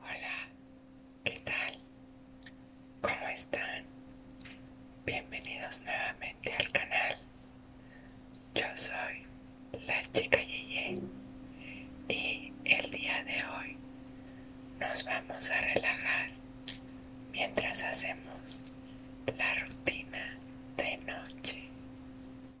Hola, ¿qué tal? ¿Cómo están? Bienvenidos nuevamente al canal. Yo soy la chica Yeye y el día de hoy nos vamos a relajar mientras hacemos la rutina de noche.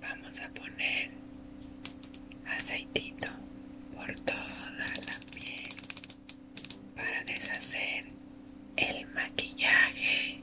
Vamos a poner aceitito por toda la piel para deshacer el maquillaje.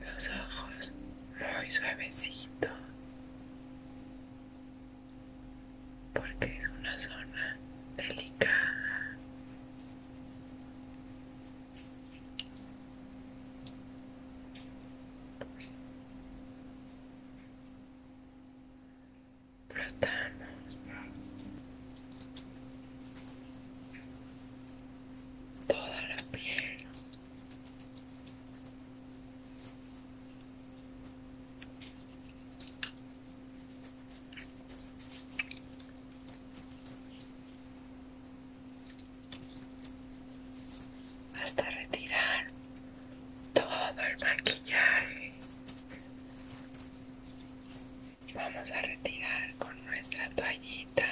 Los ojos muy suavecito, Porque es una zona delicada flotamos Toda la piel. Hasta retirar todo el maquillaje vamos a retirar con nuestra toallita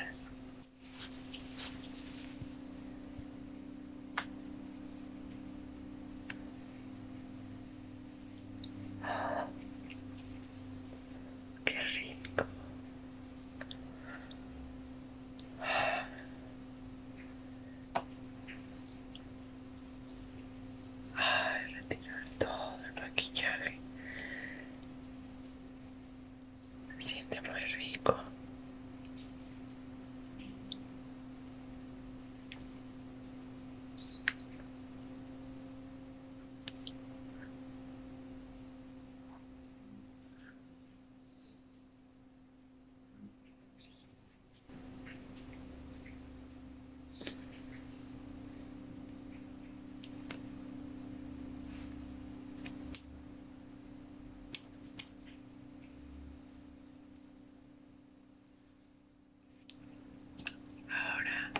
ah, qué rico ah. Ay, retirar todo el maquillaje. siente muy rico. Ahora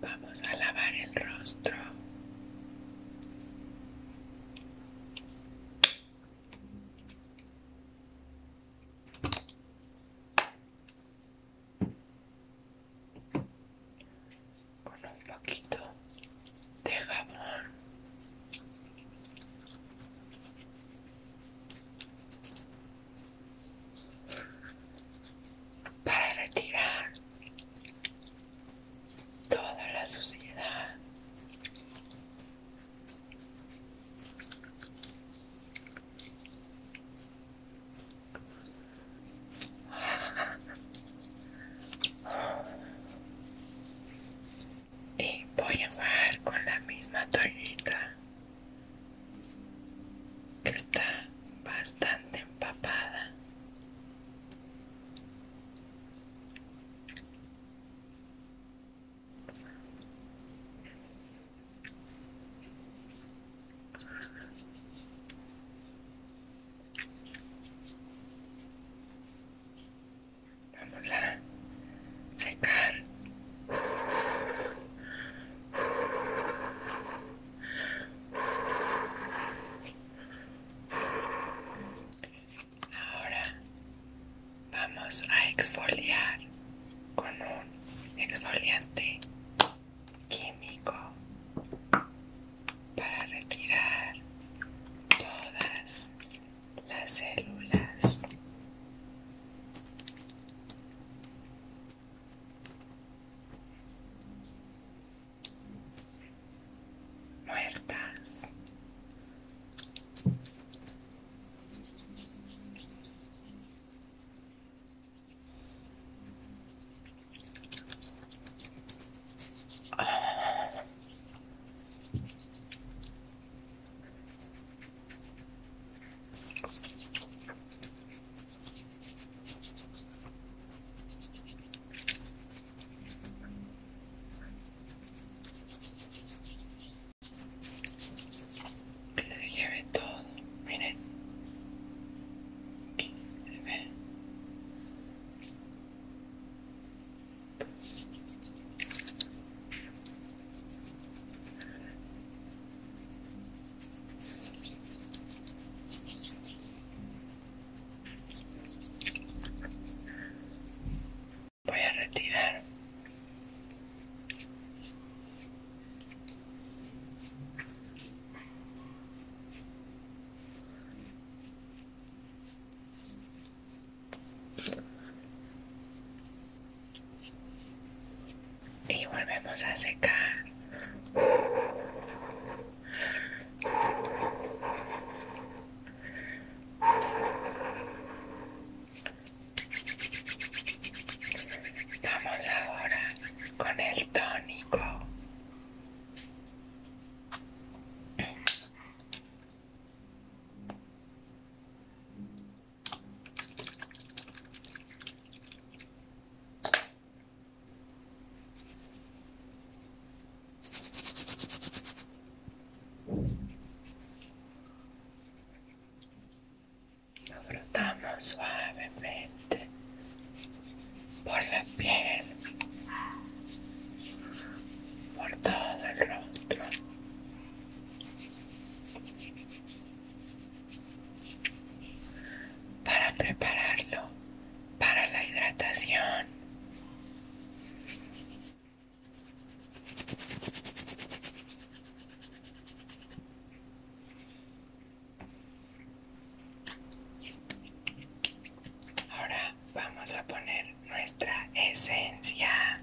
vamos a lavar el rostro con un poquito de jabón para retirar toda la suciedad y voy a bajar con la misma toallita que está bastante empapada. Vamos a secar. Ahora vamos a exfoliar con un exfoliante químico para retirar todas las células muertas. Que se lleve todo, miren. Aquí Voy a retirar. Y volvemos a secar. Vamos ahora con el tónico. Lo suavemente por la piel, por todo el rostro. Para prepararlo para la hidratación. Ahora vamos a poner nuestra esencia.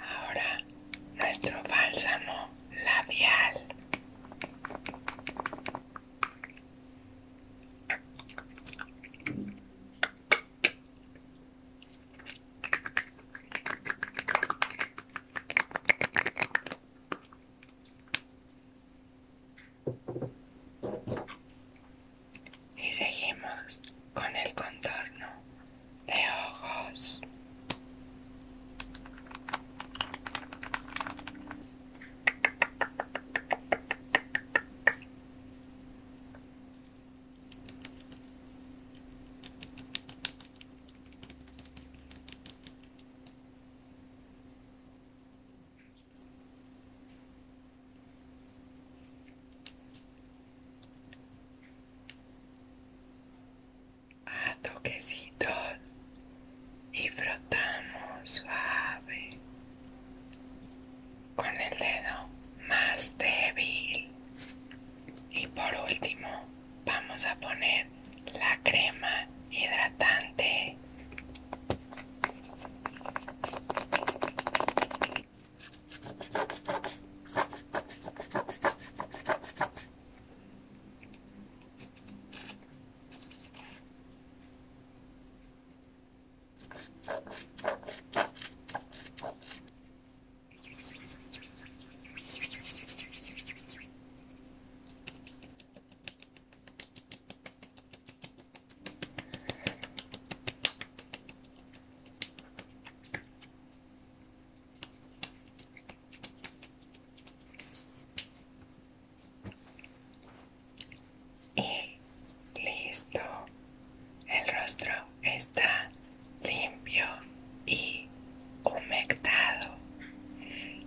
Ahora nuestro bálsamo labial. Y seguimos con el contorno de ojos a toquecitos y frotamos suave con el dedo más débil y por último, vamos a poner la crema hidratante. Y listo, el rostro está limpio y humectado.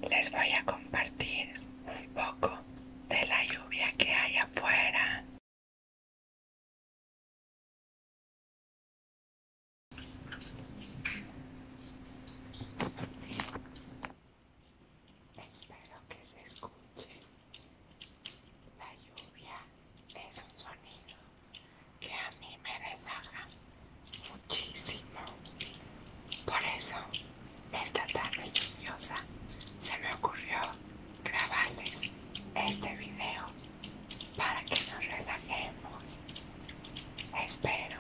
Les voy a compartir un poco de la lluvia que hay afuera. Espero que se escuche la lluvia es un sonido que a mí me relaja muchísimo. Por eso, esta tarde lluviosa se me ocurrió grabarles este video para que nos relajemos. Espero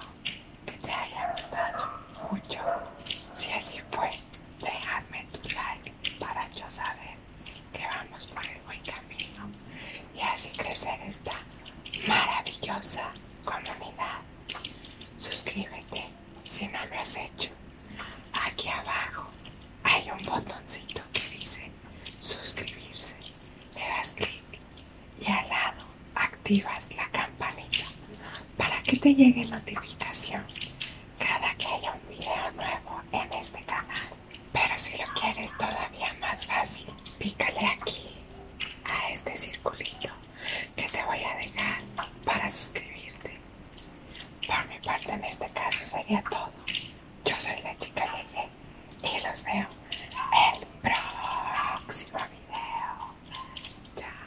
que te haya gustado mucho. Si así fue, déjame tu like para yo saber que vamos por el buen camino y así crecer esta maravillosa comunidad. Suscríbete si no lo has hecho. Aquí abajo hay un botoncito que dice suscribirse. Le das clic y al lado activas la campanita para que te llegue notificación cada que haya un video nuevo en este canal. Pero si lo quieres todavía más fácil, pícale aquí a este circulito que te voy a dejar para suscribirte. Por mi parte en este caso sería todo. Yo soy la chica Yeye y los veo el próximo video. Chao.